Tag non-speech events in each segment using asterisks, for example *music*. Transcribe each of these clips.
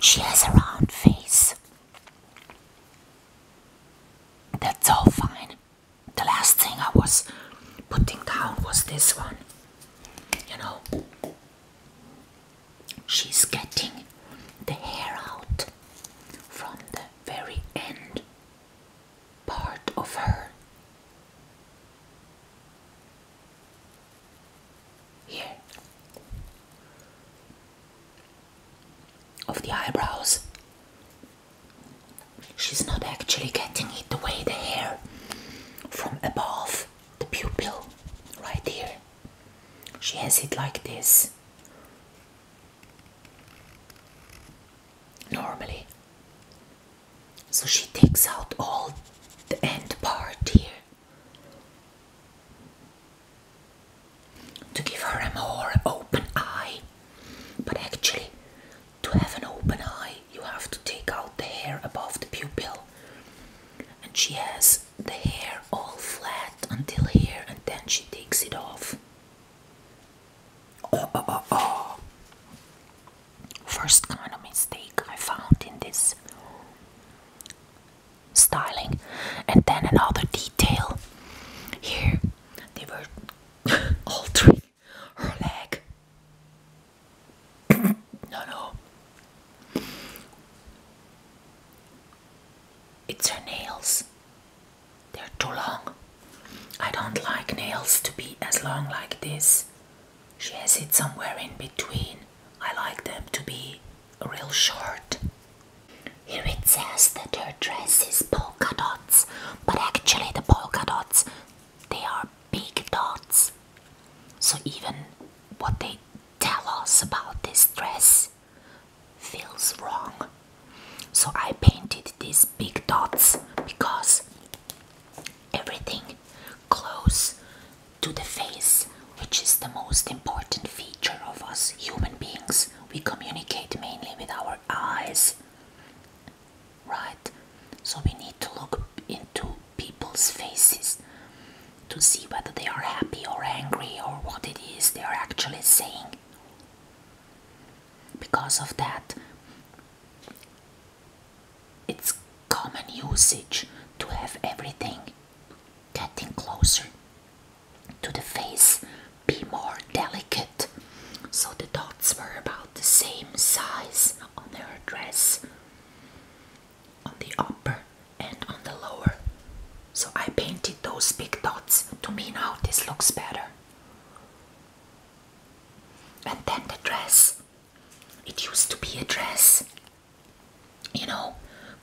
She has a round face. That's all fine. The last thing I was putting down was this one. You know, she's getting the hair out from the very end part of her here of the eyebrows. She's not actually getting it the way the hair from above the pupil, right here. She has it like this normally. So she takes out all the end part here to give her a more open eye. But actually, to have an open eye, you have to take out the hair above the pupil. And she has the hair all flat until here, and then she takes it off. Oh, oh, oh, oh. First kind of mistake I found in this styling and then another detail here they were *laughs* altering her leg *coughs* no no it's her nails they're too long i don't like nails to be as long like this she has it somewhere in between. I like them to be real short. Here it says that her dress is polka dots, but actually the polka dots, they are big dots. So even what they tell us about this dress feels wrong. So I painted these big dots because everything, close to the face, which is the most important feature of us human beings. We communicate mainly with our eyes, right? So we need to look into people's faces to see whether they are happy or angry or what it is they are actually saying. Because of that, it's common usage to have everything getting closer to the face be more delicate. So the dots were about the same size on her dress, on the upper and on the lower. So I painted those big dots. To me now this looks better. And then the dress. It used to be a dress you know,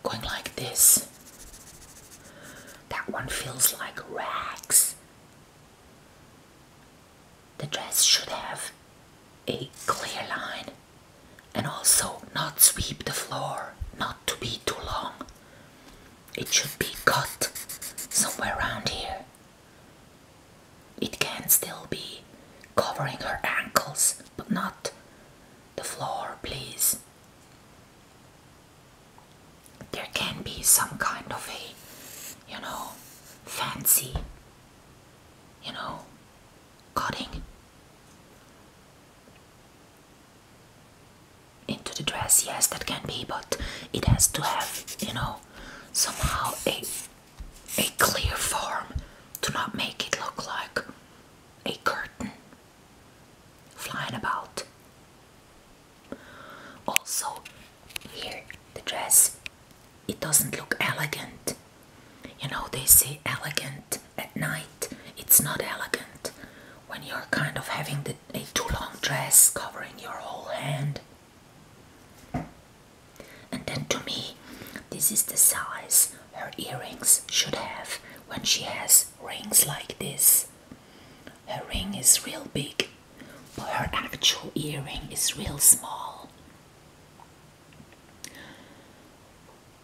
going like this. That one feels like rags. The dress should have a clear line and also not sweep the floor, not to be too long. It should be cut somewhere around here it can still be covering her ankles, but not the floor, please. There can be some kind of a, you know, fancy, you know, cutting into the dress. Yes, that can be, but it has to have, you know, somehow a a clear form to not make it look like a curtain flying about. Also, here the dress it doesn't look elegant. You know, they say elegant at night, it's not elegant when you're kind of having a too long dress covering your whole hand. And then to me, this is the size her earrings should have when she has rings like this. Her ring is real big, but her actual earring is real small.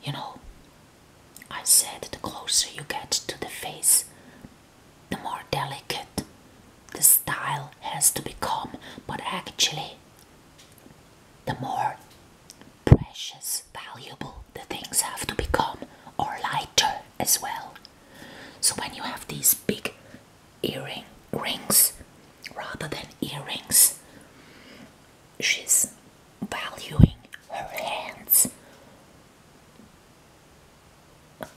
You know, I said the closer you get to the face, the more delicate the style has to become, but actually, the more precious, valuable the things have to become, or lighter as well. So when you have these big earring rings rather than earrings, she's valuing her hands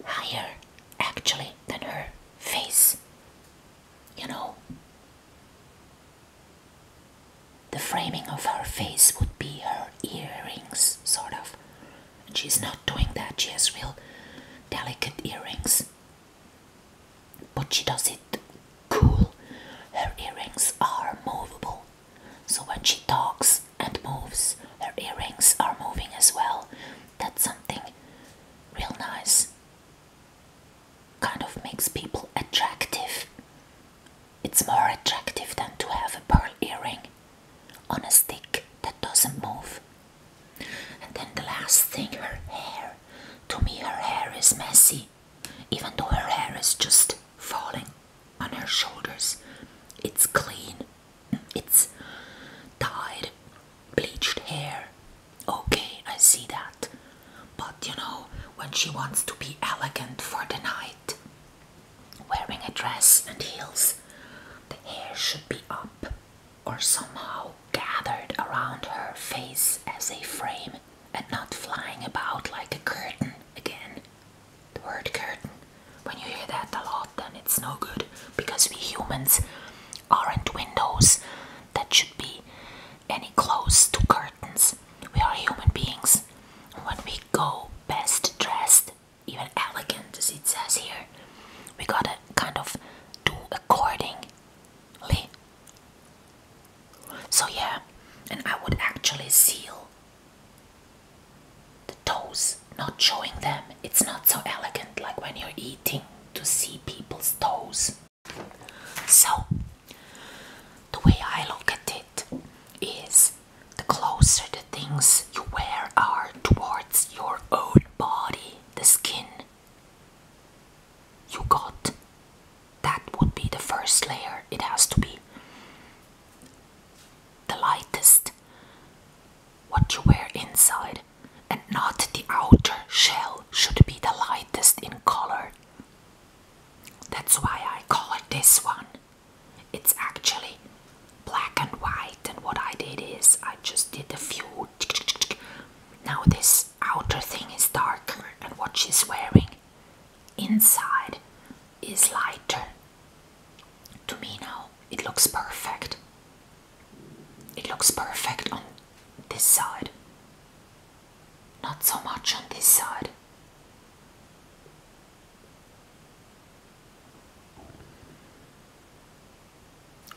higher actually than her face you know. The framing of her face would be her earrings, sort of. she's not doing that, she has real delicate earrings. But she does it cool. Her earrings are movable. So when she talks and moves, her earrings are moving as well. That's something real nice kind of makes people attractive. It's more attractive than to have a pearl earring on a stick that doesn't move. And then the last thing, her hair. To me, her hair is messy, even though her hair is just falling on her shoulders. It's clean, it's dyed, bleached hair. Okay, I see that. But you know, when she wants to be elegant for the night, wearing a dress and heels, the hair should be up or somehow gathered around her face as a frame and not flying about like a curtain again. The word curtain, when you hear that a lot, then it's no good because we humans aren't windows that should be any close to curtains. We are human beings. When we go best dressed, even elegant as it says here, we gotta kind of do accordingly. So, yeah, and I would actually seal the toes, not showing them it's not so elegant like when you're eating to see people's toes. So, the way I look at it is the closer the things you wear are towards your own body, the skin you got, that would be the first layer. It has to be the lightest. What you wear inside and not the outer shell, should be the lightest in color. That's why I call it this one. It's actually black and white, and what I did is I just did a few. Now, this outer thing is darker, and what she's wearing inside is lighter. To me, now it looks perfect. It looks perfect on this side, not so much on this side.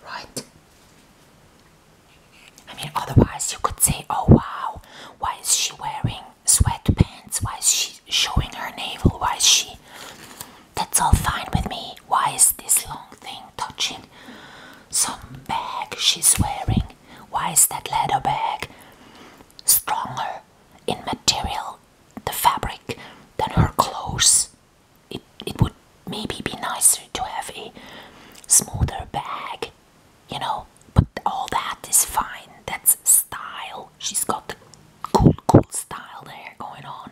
Right? I mean, otherwise, you could say, oh wow, why is she wearing sweatpants? Why is she showing her navel? Why is she that's all fine with me. Why is this long thing touching some bag she's wearing? Why is that leather bag stronger in material, the fabric, than her clothes? It, it would maybe be nicer to have a smoother bag, you know, but all that is fine. That's style. She's got the cool, cool style there going on.